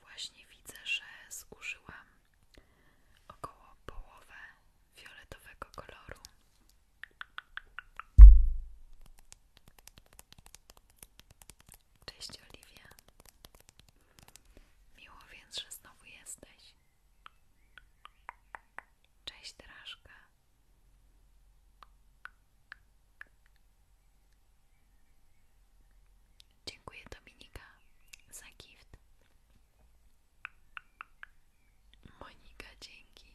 Właśnie widzę, że zużyłam około połowę fioletowego koloru Cześć Oliwia. Miło więc, że znowu jesteś. Cześć Draszka. Dziękuję Dominika za gift. Monika, dzięki.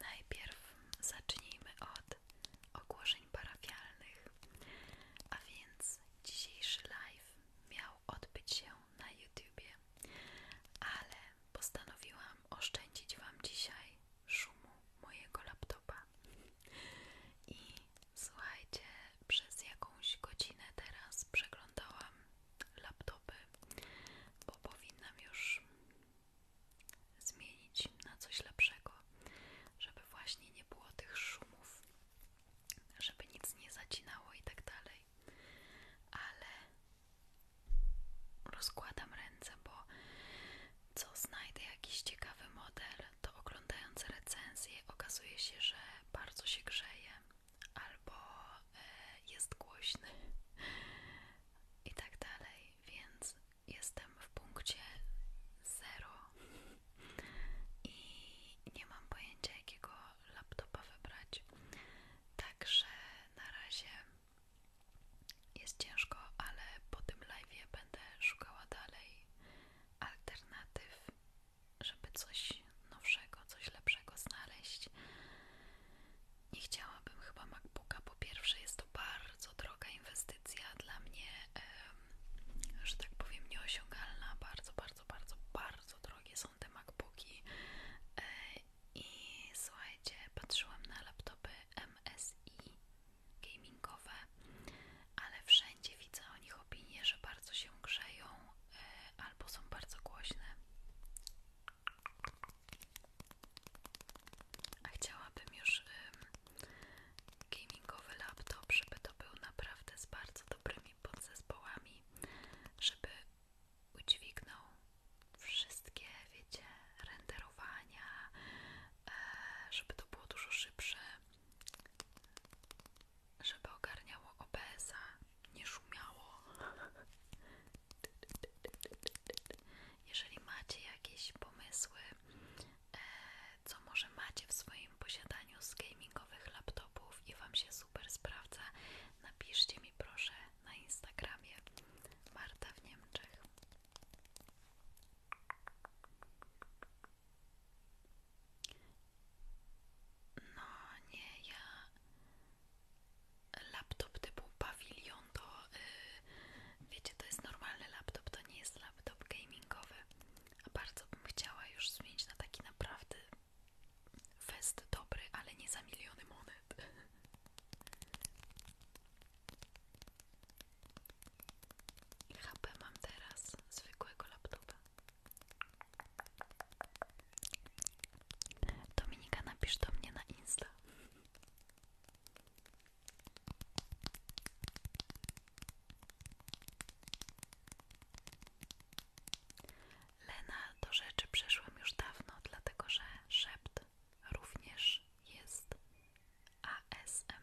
Najpierw zacznijmy od ogłoszeń parafialnych, a więc dzisiejszy live miał odbyć się na YouTubie, ale postanowiłam oszczędzić Wam dzisiaj szumu mojego laptopa. I słuchajcie, przez jakąś godzinę teraz przeglądałam laptopy, bo powinnam już zmienić na coś lepszego, żeby właśnie nie było tych szumów, żeby nic nie zacinało i tak dalej. Ale rozkładam ręce, bo co znajdę jakiś ciekawy model, to oglądając recenzję okazuje się, że bardzo się grzeje albo e, jest głośny i tak dalej, więc jestem w punkcie zero i nie mam pojęcia jakiego laptopa wybrać, także na razie jest ciężko, ale po tym live'ie będę szukała dalej alternatyw, żeby coś nowszego, coś lepszego znaleźć. Nie chciałabym chyba MacBooka, po pierwsze jest to bardzo droga inwestycja dla mnie, że tak powiem, nieosiągalna. Bardzo, bardzo, bardzo, bardzo drogie są te MacBooki. E, I słuchajcie, patrzyłam na laptopy MSI gamingowe, ale wszędzie widzę o nich opinie, że bardzo się grzeją e, albo są bardzo głośne. A chciałabym już gamingowy laptop, żeby to był naprawdę z bardzo dobrymi podzespołami, żeby udźwignął wszystkie, wiecie, renderowania, e, żeby to było dużo szybsze żeby ogarniało OBS-a, nie szumiało. Jeżeli macie jakieś pomysły, e, co może macie w swoim posiadaniu z gamingowych laptopów i Wam się super sprawdza, napiszcie mi proszę na Instagramie Marta w Niemczech. No nie, ja laptop typu pawilion to y, wiecie, to jest normalny laptop, to nie jest laptop gamingowy. A bardzo bym chciała już zmienić na taki naprawdę fest dobry, ale nie za miliony monet. I HP mam teraz zwykłego laptopa. Dominika, napisz do mnie na Insta. Lena, do rzeczy przeszłam już dawno, dlatego że szept również jest ASMR.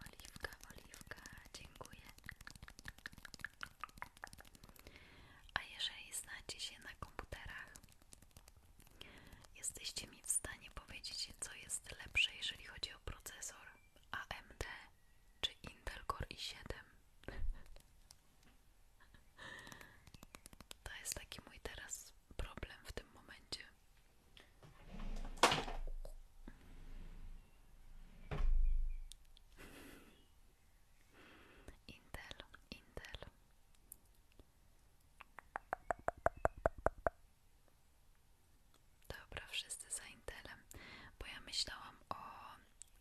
Oliwka, oliwka, dziękuję. A jeżeli znacie się na komputerach, jesteście mi w stanie powiedzieć, co jest lepsze, jeżeli chodzi o procesor AMD czy Intel Core i7? To jest taki mój teraz problem w tym momencie. Intel, Intel. Dobra, wszyscy za Intelem, bo ja myślałam o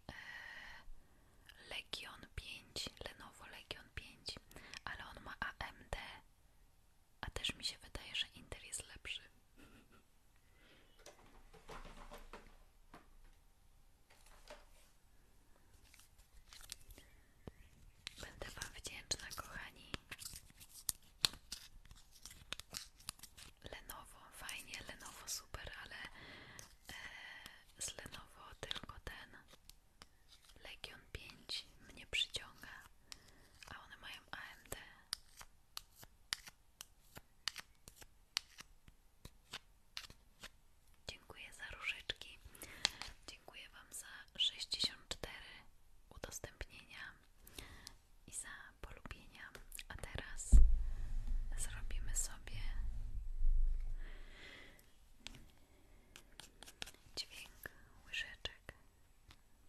e, Legion 5, Lenovo Legion ale on ma AMD, a też mi się wydaje, że Intel jest lepszy. Będę Wam wdzięczna, kochani. Lenovo, fajnie, Lenovo super, ale e, z Lenovo tylko ten Legion 5 mnie przyciąga, a one mają AMD. Dziękuję za różyczki. Dziękuję Wam za 64 udostępnienia i za polubienia. A teraz zrobimy sobie dźwięk łyżeczek,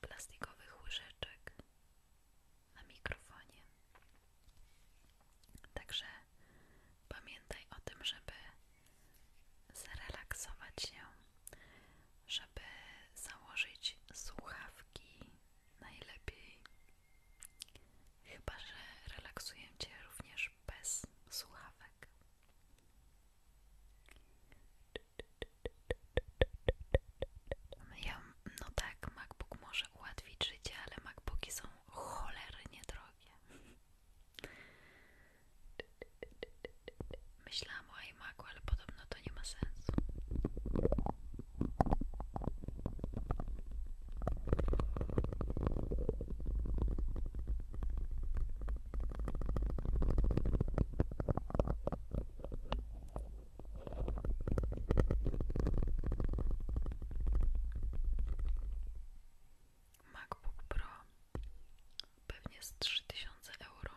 plastikowych łyżeczek na mikrofonie. Także pamiętaj o tym, żeby zrelaksować się, żeby założyć słuchawki najlepiej. Chyba, że relaksuję Cię również bez słuchawek. Ja, no tak, MacBook może ułatwić życie, ale MacBooki są cholernie drogie. Myślałam o iMacu, ale podobno to nie ma sensu. MacBook Pro pewnie z 3000 euro.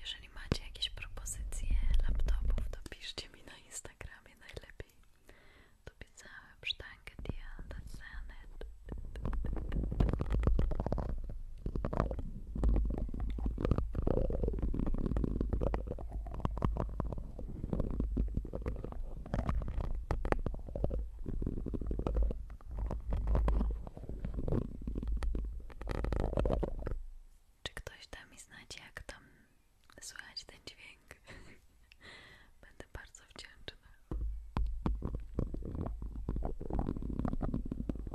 Jeżeli macie jakieś propozycje laptopów, to piszcie mi na Instagramie najlepiej. To pisałem sztankę dia, that's it. Czy ktoś da mi znać, jak tam słychać ten dźwięk? Będę bardzo wdzięczna.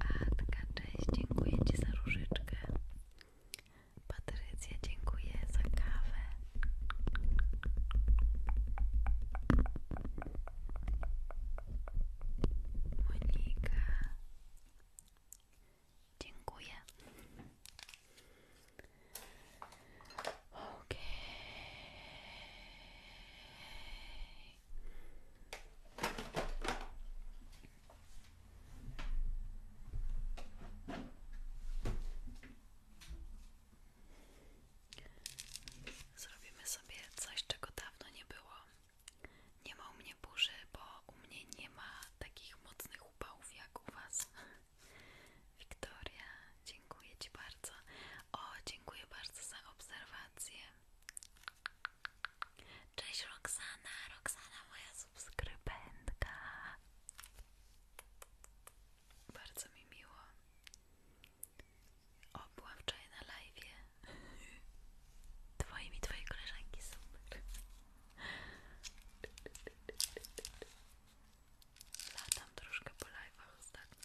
Atka, dziękuję Ci za różyczkę. Patrycja, dziękuję za kawę. Monika, dziękuję. Okay. Zrobimy sobie coś, czego dawno nie było. Nie ma u mnie burzy, bo u mnie nie ma takich mocnych upałów jak u Was. Wiktoria, dziękuję Ci bardzo. O, dziękuję bardzo za obserwację. Cześć Roxana, Roxana moja subskrybentka. Bardzo mi miło. O, była wczoraj na live. Twoimi twojej koleżanki super. Latam troszkę po live'ach ostatnio.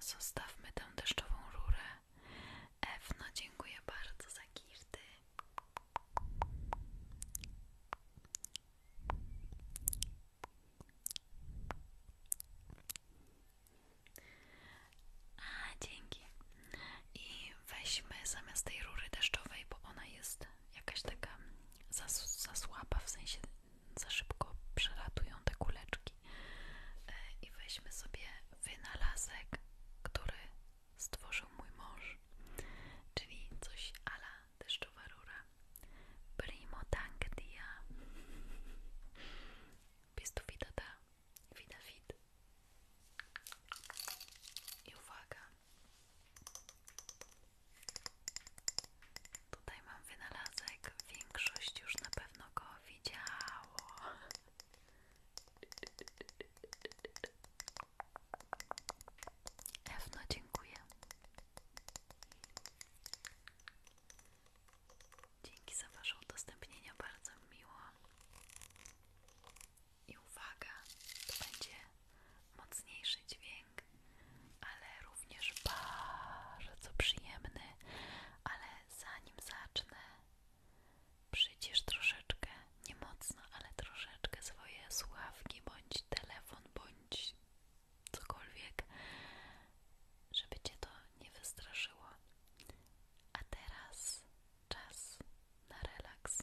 Zostawmy tę deszczową rurę. Ewno, dziękuję bardzo za girty. A, dzięki. I weźmy zamiast tej rury deszczowej, bo ona jest jakaś taka za, za słaba, w sensie za szybko przelatują te kuleczki. E, I weźmy sobie wynalazek, który stworzył mój mąż, czyli coś ala deszczowa rura. Primo tangia. Pistu widata, vida fit. I uwaga, Tutaj mam wynalazek, większość już na pewno go widziało. Ewno, dziękuję. Dzięki za Wasze udostępnienia, bardzo miło. I uwaga, to będzie mocniejszy dźwięk, ale również bardzo przyjemny. Ale zanim zacznę, przycisz troszeczkę, nie mocno, ale troszeczkę swoje słuchawki, bądź telefon, bądź cokolwiek, żeby cię to nie wystraszyło. A teraz czas na relaks.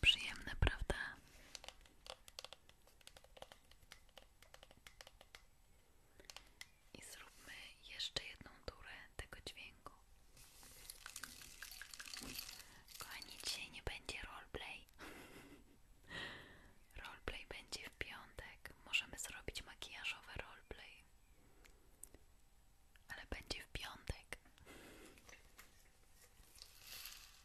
Przyjemne, prawda? I zróbmy jeszcze jedną turę tego dźwięku. Kochani, dzisiaj nie będzie roleplay. roleplay będzie w piątek. Możemy zrobić makijażowe roleplay. Ale będzie w piątek.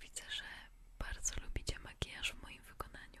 Widzę, że bardzo lubicie makijaż w moim wykonaniu.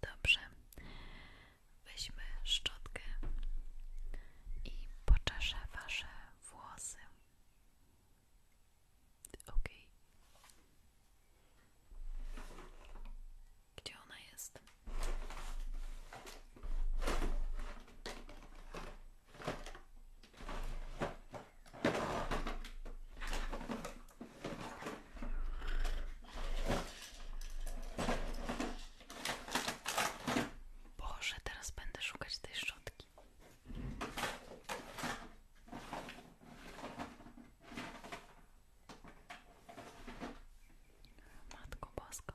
Dobrze. Weźmy szczotkę i poczeszę wasze włosy. Ok. Gdzie ona jest? Boże, teraz będę szukać tej szczotki. Matko Bosko.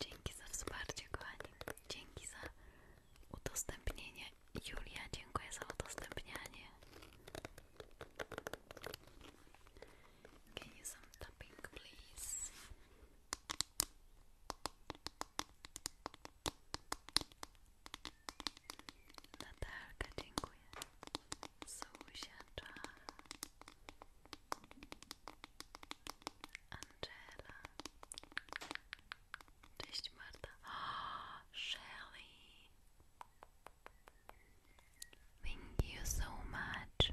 Dzięki za wsparcie, kochani. Dzięki za udostępnienie. Julia, dziękuję za udostępnianie. Can you some tapping, please? Natalka, dziękuję. Angela. Cześć Marta. Thank you so much.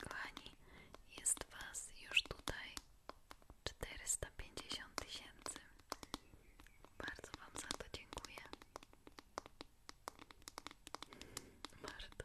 Kochani, jest Was już tutaj 450 tysięcy. Bardzo Wam za to dziękuję. Marta.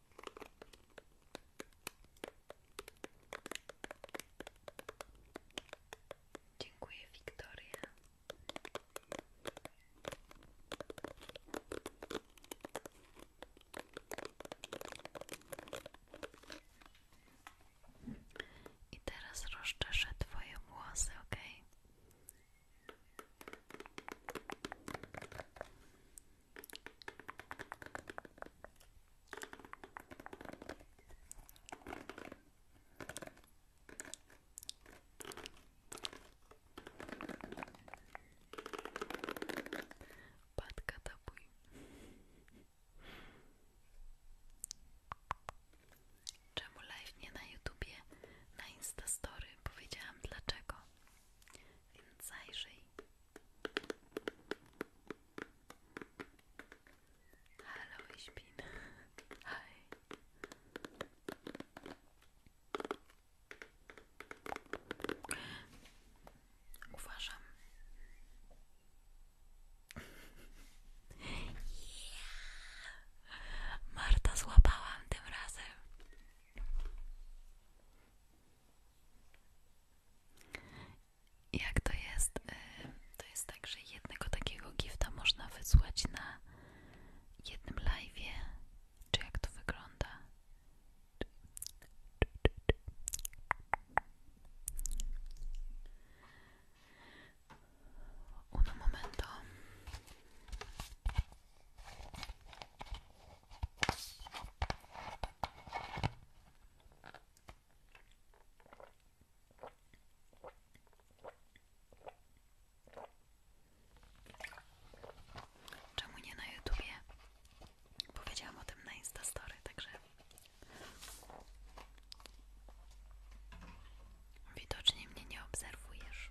Dziękuję, Wiktoria. I teraz rozczeszę Twoje włosy, ok? Patka tapuj. Czemu live nie na YouTubie, na Instastory? Powiedziałam dlaczego. Więc zajrzyj. Hallo, ich bin. Hi. Uważam. Yeah. Marta, złapałam tym razem. Jak to jest? Y, to jest tak, że jednego takiego gifta można wysłać na jednym live'ie. Czy jak to wygląda? Un momento. Czemu nie na YouTubie? Powiedziałam o tym na Instastory, także widocznie mnie nie obserwujesz.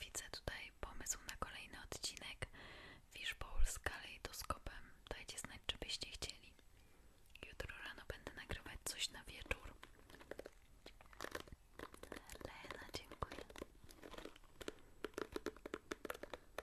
Widzę tutaj pomysł na kolejny odcinek Fishbowl z kalejdoskopem. Dajcie znać, czy byście chcieli. Jutro rano będę nagrywać coś na wieczór. Lena, dziękuję.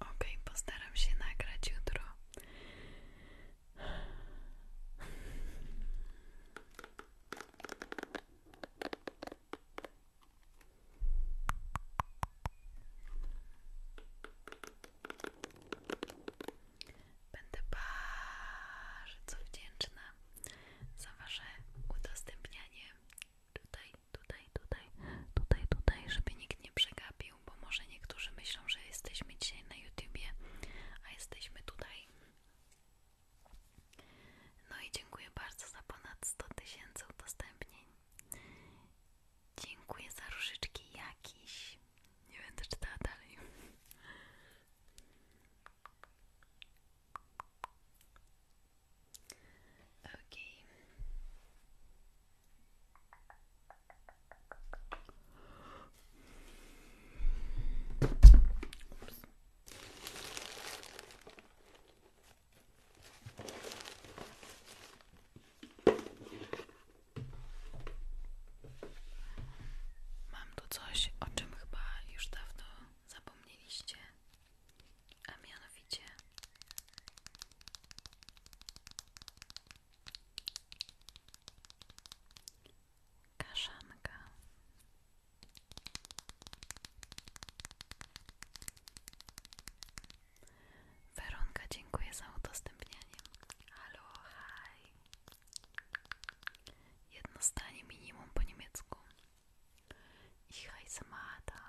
Ok, postaram się nagrać jutro. Będę bardzo wdzięczna za Wasze udostępnianie tutaj, tutaj, tutaj, tutaj, tutaj, żeby nikt nie przegapił, bo może niektórzy myślą, że jesteśmy dzisiaj na YouTubie, a jesteśmy tutaj. No i dziękuję bardzo za ponad 100 tysięcy udostępnień. Dziękuję za różyczki jakiś. Nie będę czytała dalej. Ok. Ups. Mam tu coś, o czym chyba już dawno zapomnieliście, a mianowicie kaszanka. Weronka, dziękuję za udostępnianie. Halo, haj. Jedno stanie minimum po niemiecku. Ich heiße Martha.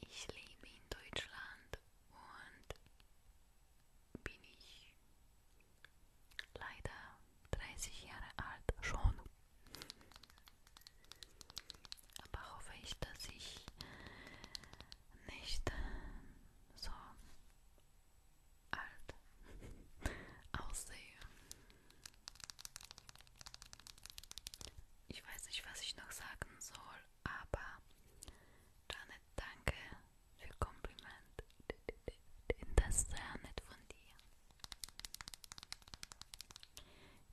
Ich lebe in Deutschland und bin ich leider 30 Jahre alt schon. Aber hoffe ich, dass ich nicht so alt aussehe. Ich weiß nicht, was ich noch sagen soll, aber Janet, danke für Kompliment. Das ist sehr nett von dir.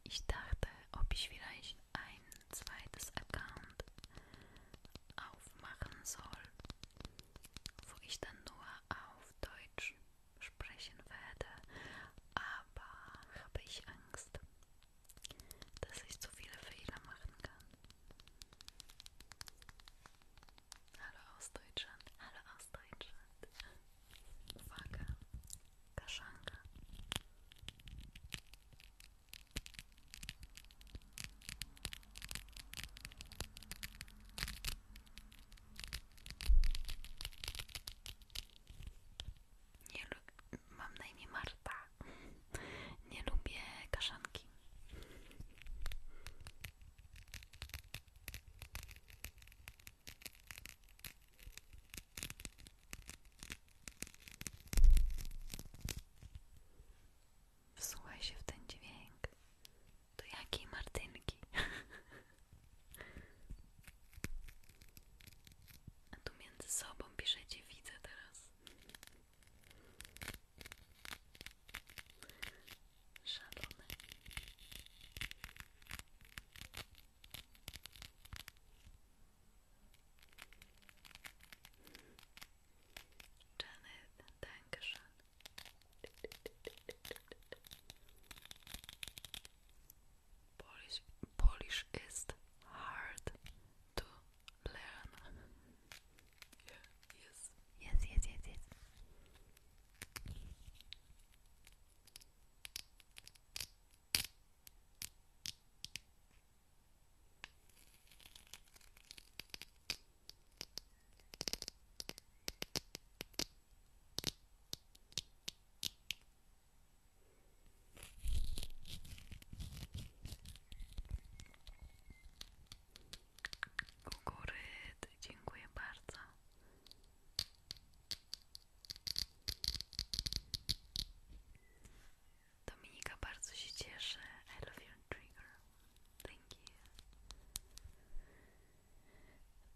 Ich dachte, ob ich vielleicht ein zweites Account aufmachen soll, wo ich dann nur auf Deutsch sprechen werde, aber habe ich Angst, dass ich zu viele Fehler machen kann. Hallo aus Deutschland, hallo aus Deutschland. Waga, Kaschanka. Nie lubię, mam na imię Marta. Nie lubię kaszanki. Wsłuchaj się w ten dźwięk. Do jakiej Martynki? A tu między sobą piszecie, widzę teraz. Szalone. Janet, Dankeschön. Polish, is hard to learn. yes. Yes, yes, yes, yes. Kukuryt, dziękuję bardzo. Dominika bardzo się cieszy. I love your trigger. Dzięki.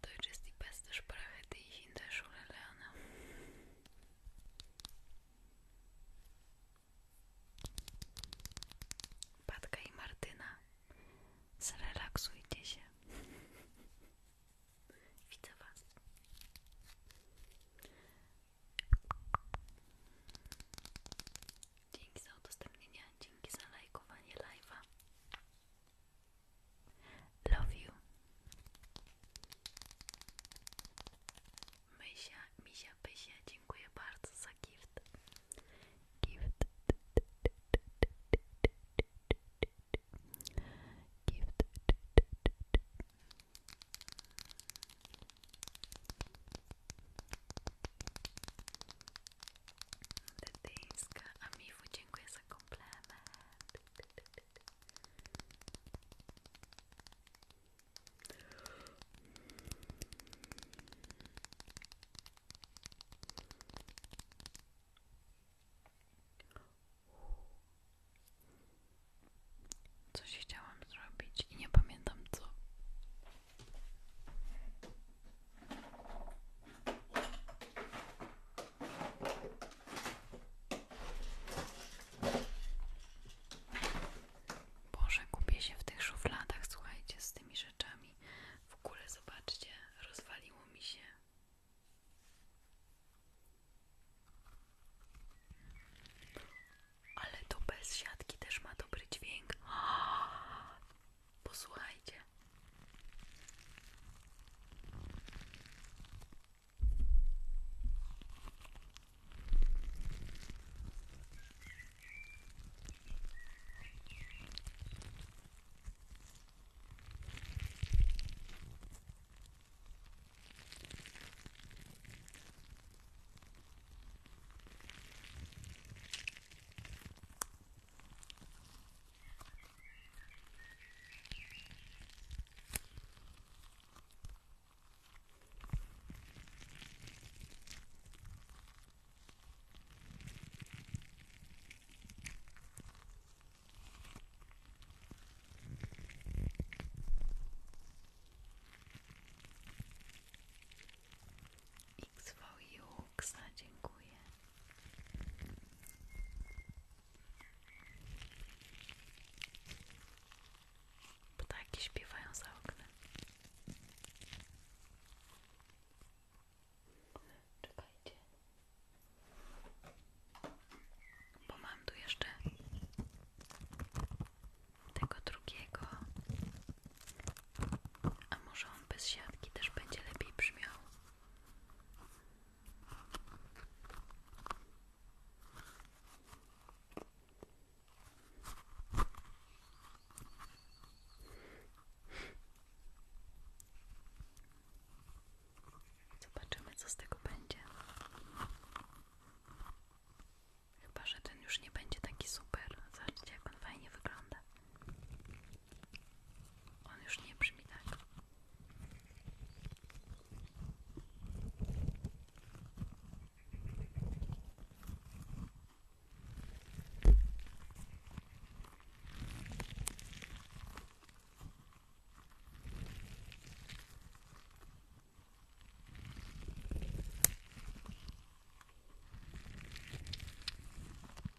To jest die beste Sprache, die ich in der Patka i Martyna, zrelaksujcie się. Widzę Was. Dzięki za udostępnienie, dzięki za lajkowanie live'a. Love you. Mysia, misia, pysia, dziękuję bardzo za gift. Tetyńska. A Mifu, dziękuję za komplement. Coś chciałam zrobić i nie pamiętam co. Boże, kupię się w tych szufladach, słuchajcie, z tymi rzeczami. W ogóle zobaczcie, rozwaliło mi się. Ale to bez siatki też ma dobry dźwięk. Posłuchajcie. X dziękuję Ptaki śpiewają za oknem. Czekajcie. Bo mam tu jeszcze tego drugiego. A może on bez siatki też będzie lepiej brzmiał? Zobaczymy, co z tego będzie. Chyba, że ten już nie będzie taki super. Zobaczcie, jak on fajnie wygląda. On już nie brzmi tak.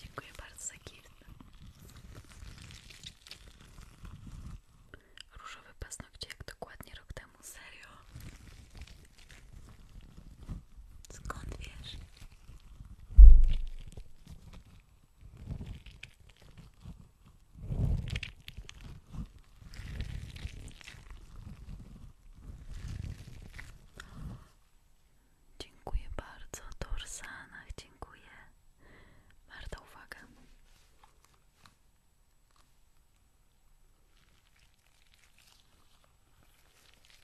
Dziękuję bardzo za gift. Różowe paznokcie jak dokładnie rok temu, serio? Skąd wiesz? Dziękuję bardzo, Dorsanach, dziękuję. Warta uwaga.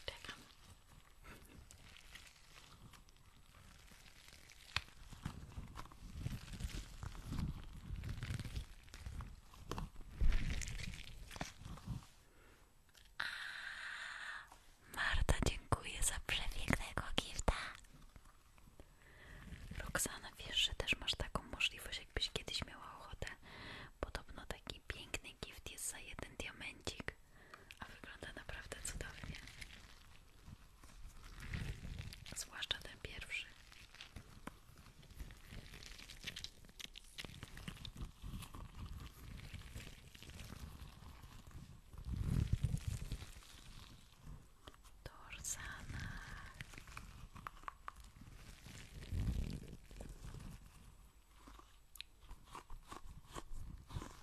Czekam. Marta, dziękuję za przepięknego gifta. Roxana, wiesz, że też masz taką możliwość, jakbyś kiedyś miała ochotę. Podobno taki piękny gift jest za jeden diamencik, a wygląda naprawdę cudownie zwłaszcza ten pierwszy. Dorsana.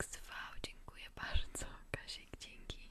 XV, dziękuję bardzo Kasiek, dzięki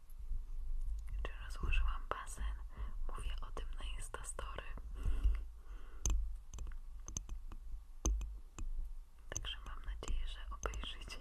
Czy rozłożyłam basen? Mówię o tym na Instastory. Także mam nadzieję, że obejrzycie.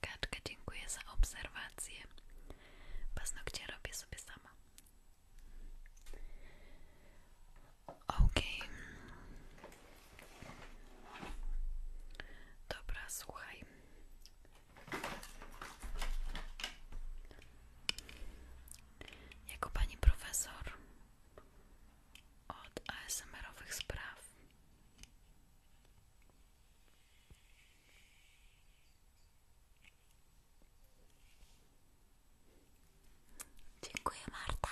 Kaczka, dziękuję za obserwację. Paznokcie robię sobie sama. Okej. Okay. Dobra, słuchaj. Jako pani profesor od asmr spraw Dziękuję, Marta.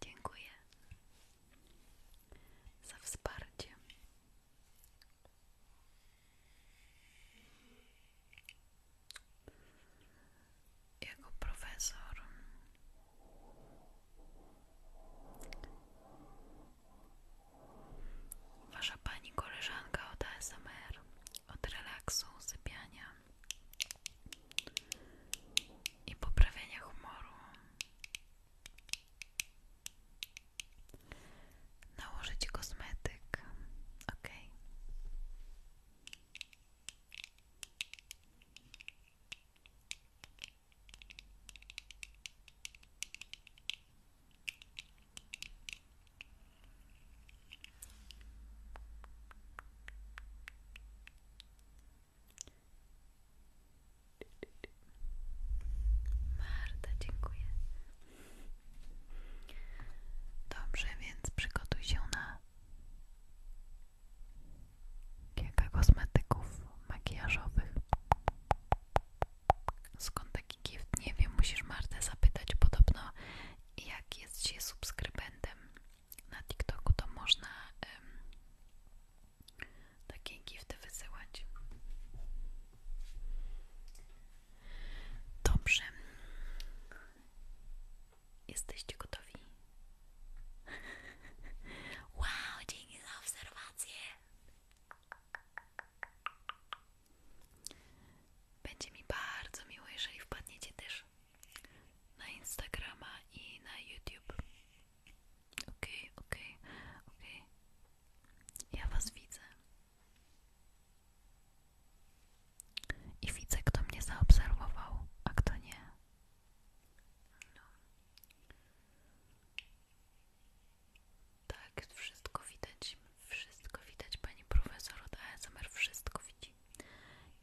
Dziękuję za wsparcie jako profesor. Wasza pani koleżanka od ASMR, od relaksu, sypiania i poprawienia humoru. Nałożyć kosmetyk, ok. Marta, dziękuję. Dobrze, więc przygotuj się na kilka kosmetyków makijażowych. Skąd taki gift? Nie wiem, musisz Martę zapytać. Podobno, jak jest się subskrybentem na TikToku, to można takie gifty wysyłać. Dobrze. Jesteście gotowi? Wow, dzięki za obserwację! Będzie mi bardzo miło, jeżeli wpadniecie też na Instagrama i na YouTube. Ok, ok, ok. Ja was widzę. I widzę, kto mnie zaobserwował, a kto nie. No. Tak, wszystko widać, wszystko widać pani profesor daje ASMR, wszystko widzi.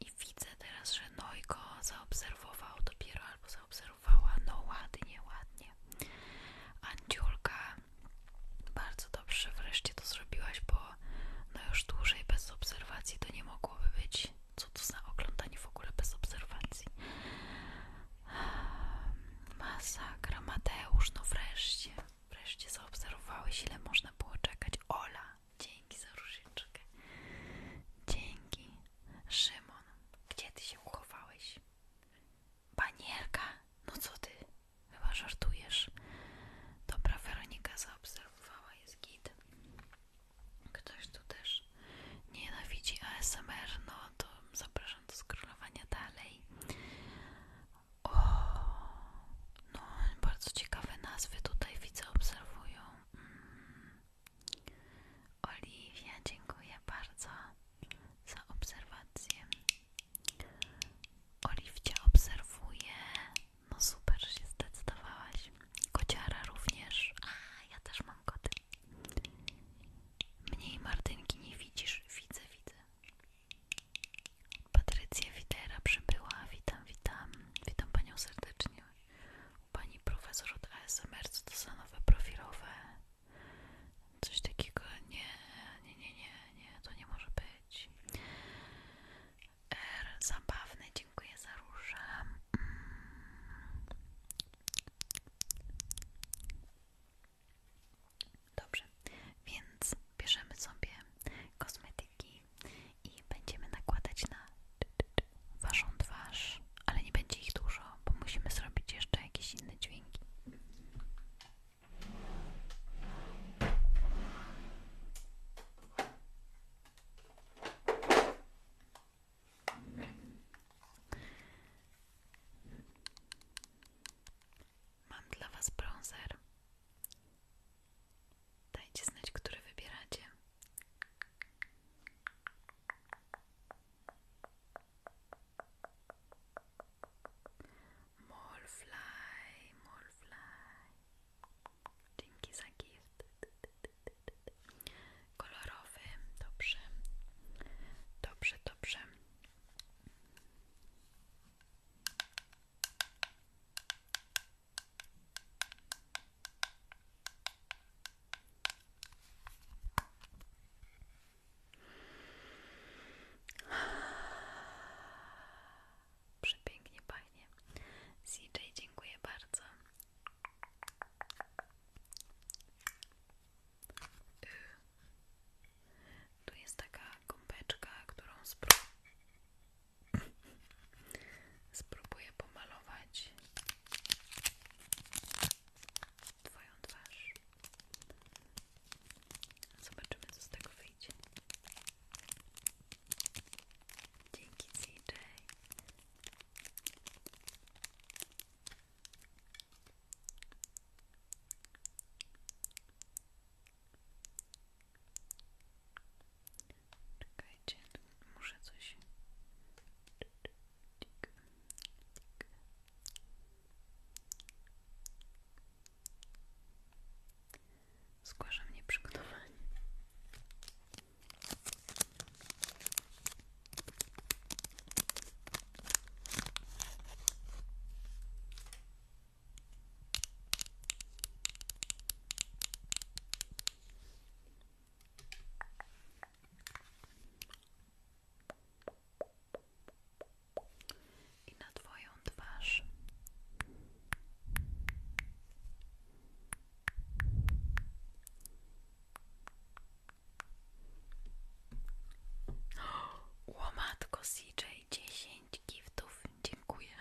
I widzę teraz, że Nojko zaobserwował dopiero albo zaobserwowała, no ładnie, ładnie. Anciulka, bardzo dobrze, wreszcie to zrobiłaś, bo no już dłużej bez obserwacji to nie mogłoby być. Co to za oglądanie w ogóle bez obserwacji? Ehm, masakra, Mateusz, no wreszcie. Wreszcie zaobserwowałeś, ile można było czekać. Ola, dzięki za różyczkę. Dzięki. Szymon, gdzie ty się uchowałeś? Panierka, no co ty? Chyba żartujesz. Dobra, Weronika zaobserwowała, jest git. Ktoś tu też nienawidzi ASMR, no to zapraszam do skrolowania dalej. O, no bardzo ciekawe nazwy tutaj widzę, obserwują. Mm. Oliwia, dziękuję bardzo za obserwację. Oliwcia obserwuje. No super, że się zdecydowałaś. Kociara również. A, ja też mam koty. Mniej Martynki nie widzisz? Widzę, widzę. Patrycja Widera przybyła. Witam, witam. Witam Panią serdecznie. Pani profesor od ASMR, co to za nowe profilowe? Coś takiego? Nie, nie, nie, nie, to nie może być. R, zabawne dziękuję za róże. Mm. Dobrze, więc bierzemy sobie kosmetyki i będziemy nakładać na waszą twarz, ale nie będzie ich dużo, bo musimy zrobić jeszcze jakieś inne dźwięki. Mam dla Was bronzer. Dajcie znać, które wybieracie. Molfly, Molfly. Dzięki za gift kolorowy, dobrze, dobrze, dobrze. Przepięknie pachnie. CJ, dziękuję bardzo Y. Tu jest taka gąbeczka, którą spróbuję pomalować Twoją twarz. Zobaczymy, co z tego wyjdzie. Dzięki CJ. Czekajcie, muszę coś. nie nieprzygotowanie. I na Twoją twarz. Łomatko CJ, dziesięć giftów, dziękuję.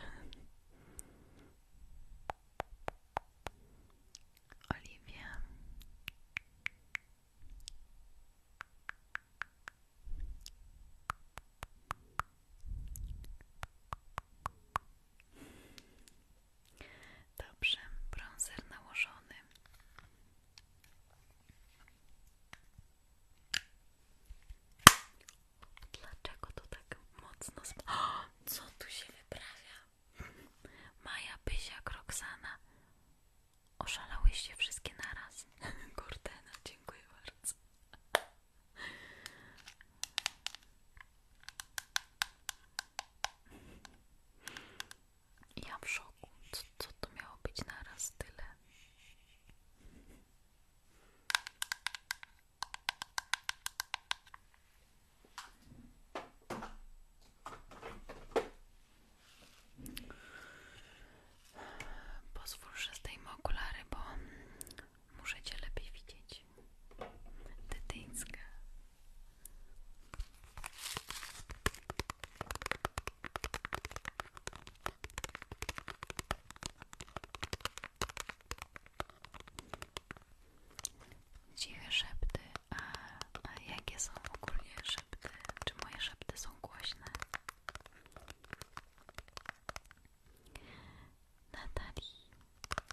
Oliwia. Dobrze, bronzer nałożony. Dlaczego to tak mocno sp... co tu się wyprawia? Maja, Pysia, Roxana. Oszalałyście wszystkie na naraz. Kordena, no, dziękuję bardzo. Ja w szoku. Co, co to miało być naraz Pozwól, że zdejmę okulary, bo muszę cię lepiej widzieć. Dytyńska. Dziwe szepty, a, jakie są ogólnie szepty? Czy moje szepty są głośne? Natalii,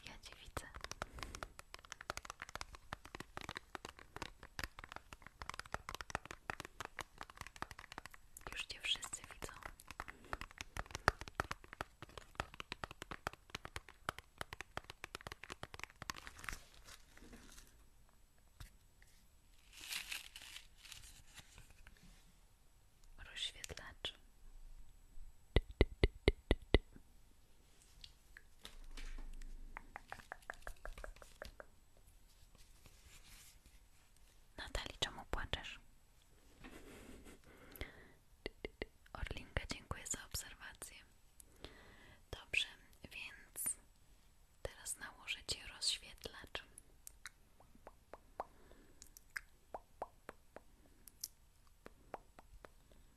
ja Cię widzę. Już cię wszyscy widzą. Rozświetlacz. Natali, czemu płaczesz? Orlinka, dziękuję za obserwację. Dobrze, więc teraz nałożę Ci rozświetlacz.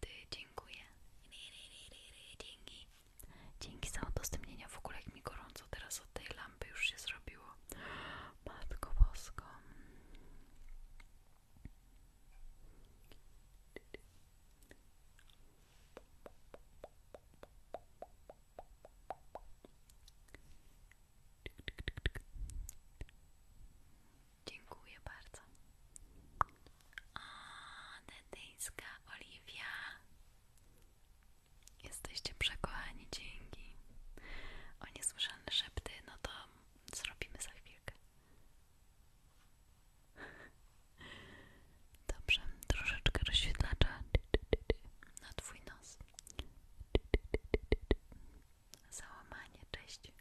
Ty, Dzięki. Dzięki za udostępnienia. W ogóle jak mi gorąco teraz od tej lampy już się zrobiło. Matko Bosko. Dziękuję bardzo. O, dedyńska Oliwia. Jesteście przekochani, dzięki. O niesłyszane szepty, no to zrobimy za chwilkę. Dobrze, troszeczkę rozświetlacza na twój nos. Załamanie, cześć.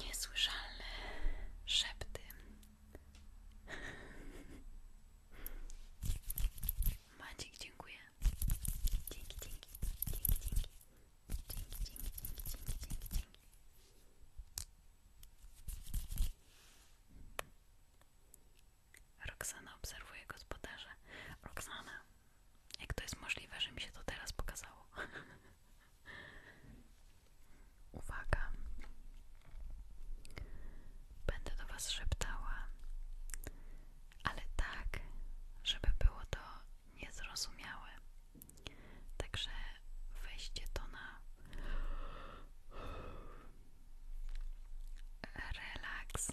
Niesłyszalne szepty. Maciek, dziękuję. Roxana obserwuje gospodarza. Roxana, jak to jest możliwe, że mi się to teraz pokazało? Uwaga. Będę do Was szeptała, ale tak, żeby było to niezrozumiałe. Także weźcie to na relaks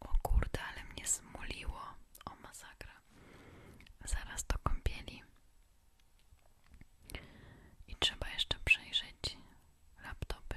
O kurde, ale mnie zmuliło. O masakra. Zaraz do kąpieli. I trzeba jeszcze przejrzeć laptopy.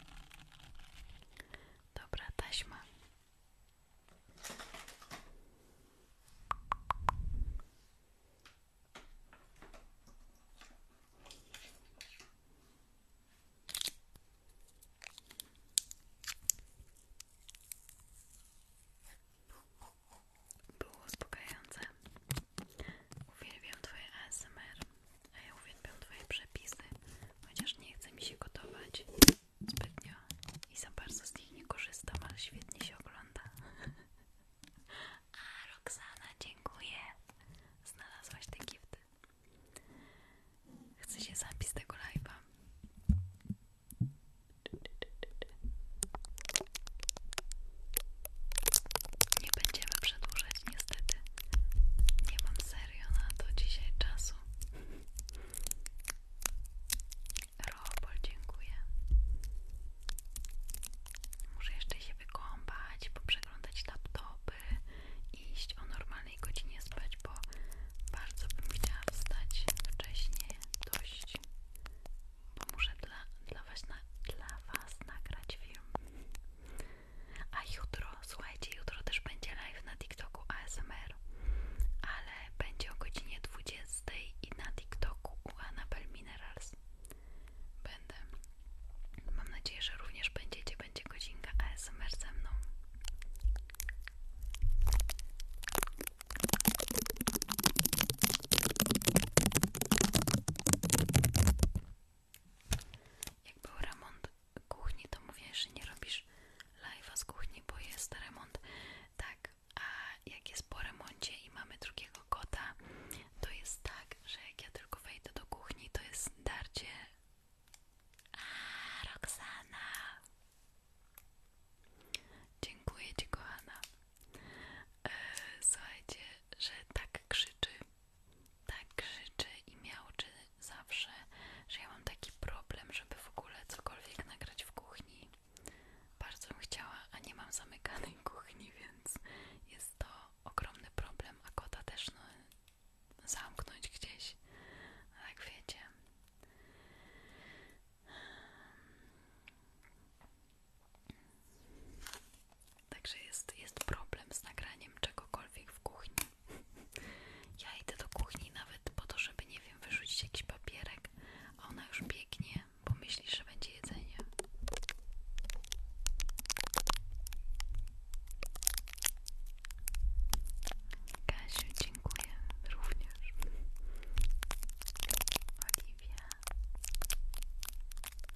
Dobra taśma. Było uspokajające. Uwielbiam Twoje ASMR a ja uwielbiam Twoje przepisy, chociaż nie chcę mi się gotować zbytnio i za bardzo z nich nie korzystam, ale świetnie się ogląda. A Roxana, dziękuję! Znalazłaś te gifty. Chce się zapis tego live'a. Nie będziemy przedłużać niestety nie mam serio na to dzisiaj czasu. Robol, dziękuję. Muszę jeszcze się wykąpać, poprzeglądać laptopy, iść o normalnej godzinie spać, bo bardzo bym chciała wstać wcześniej dość, bo muszę dla, dla, was, dla was nagrać film. A jutro, słuchajcie, jutro też będzie live na TikToku ASMR, ale będzie o godzinie 20 i na TikToku u Annabelle Minerals. Będę. Mam nadzieję, że również będziecie, będzie godzinka ASMR ze mną. Jak był remont kuchni, to mówię, że nie robisz live'a z kuchni, bo jest remont. Tak, a jak jest po remoncie i mamy drugiego kota, to jest tak, że jak ja tylko wejdę do kuchni, to jest darcie. A Roxana! Dziękuję Ci, kochana. Eee, słuchajcie, że tak krzyczy tak krzyczy i miałczy zawsze, że ja mam taki problem, żeby w ogóle cokolwiek nagrać w kuchni. Bardzo bym chciała, a nie mam zamykanej kuchni, więc jest to ogromny problem, a kota też no, zamknąć gdzieś, jak wiecie. Także jest, jest problem z nagraniem czegokolwiek w kuchni. Ja idę do kuchni nawet po to, żeby, nie wiem, wyrzucić jakiś papierek, a ona już biegnie, bo myśli, że będzie jedzenie. Kasiu, dziękuję również. Oliwia.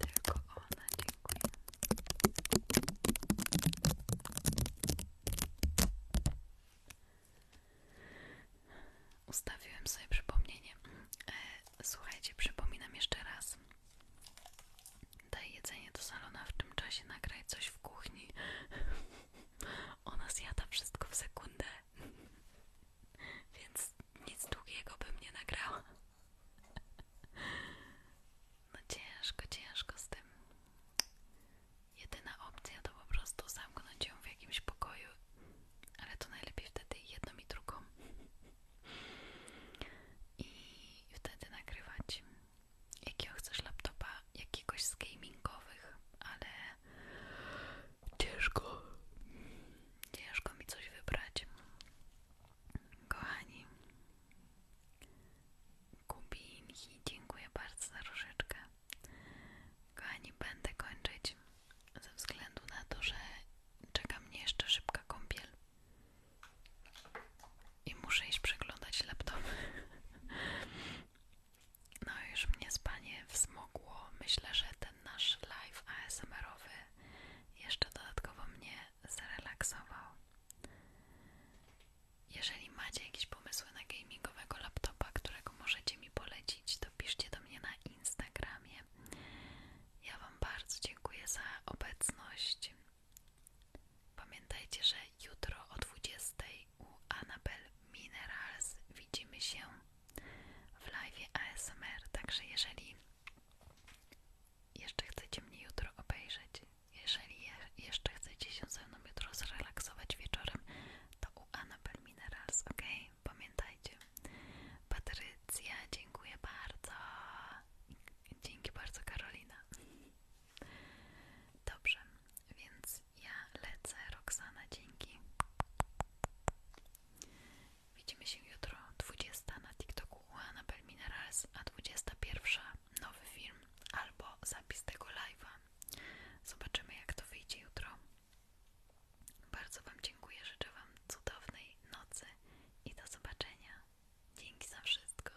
Tylko ona, dziękuję. Ustawiłem sobie przypomnienie. E, słuchajcie, przypominam jeszcze raz. Daj jedzenie do salona, w tym czasie nagraj coś w kuchni. Ona zjada wszystko w sekundę więc nic długiego bym nie nagrała. No ciężko, ciężko z tym. Jedyna opcja to po prostu zamknąć ją w jakimś pokoju, ale to najlepiej wtedy jedną i drugą. I wtedy nagrywać. Jakiego chcesz laptopa? Jakiegoś z gamingowych, ale ciężko, ciężko mi coś wybrać. Kochani, Kubinki, dziękuję bardzo za różyczkę. Kochani, będę kończyć ze względu na to, że czeka mnie jeszcze szybka kąpiel i muszę iść przeglądać laptop. No już mnie spanie wzmogło. Myślę, że nasz live ASMR-owy jeszcze dodatkowo mnie zrelaksował. Jeżeli macie jakieś pomysły na gamingowego laptopa, którego możecie mi polecić, to piszcie do mnie na Instagramie. Ja Wam bardzo dziękuję za obecność. Pamiętajcie, że jutro o 20 u Anabel Minerals widzimy się w live ASMR, także jeżeli jeszcze chcecie mnie jutro obejrzeć, jeżeli jeszcze chcecie się ze mną jutro zrelaksować wieczorem, to u Anabel Minerals, ok? Pamiętajcie. Patrycja, dziękuję bardzo. Dzięki bardzo, Karolina. Dobrze, więc ja lecę. Roxana, dzięki. Widzimy się jutro 20 na TikToku u Anabel Minerals, a 21 nowy film albo zapis tego live'a. Zobaczymy jak to wyjdzie jutro. Bardzo Wam dziękuję, życzę Wam cudownej nocy i do zobaczenia. Dzięki za wszystko.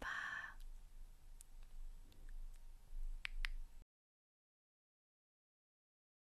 Pa!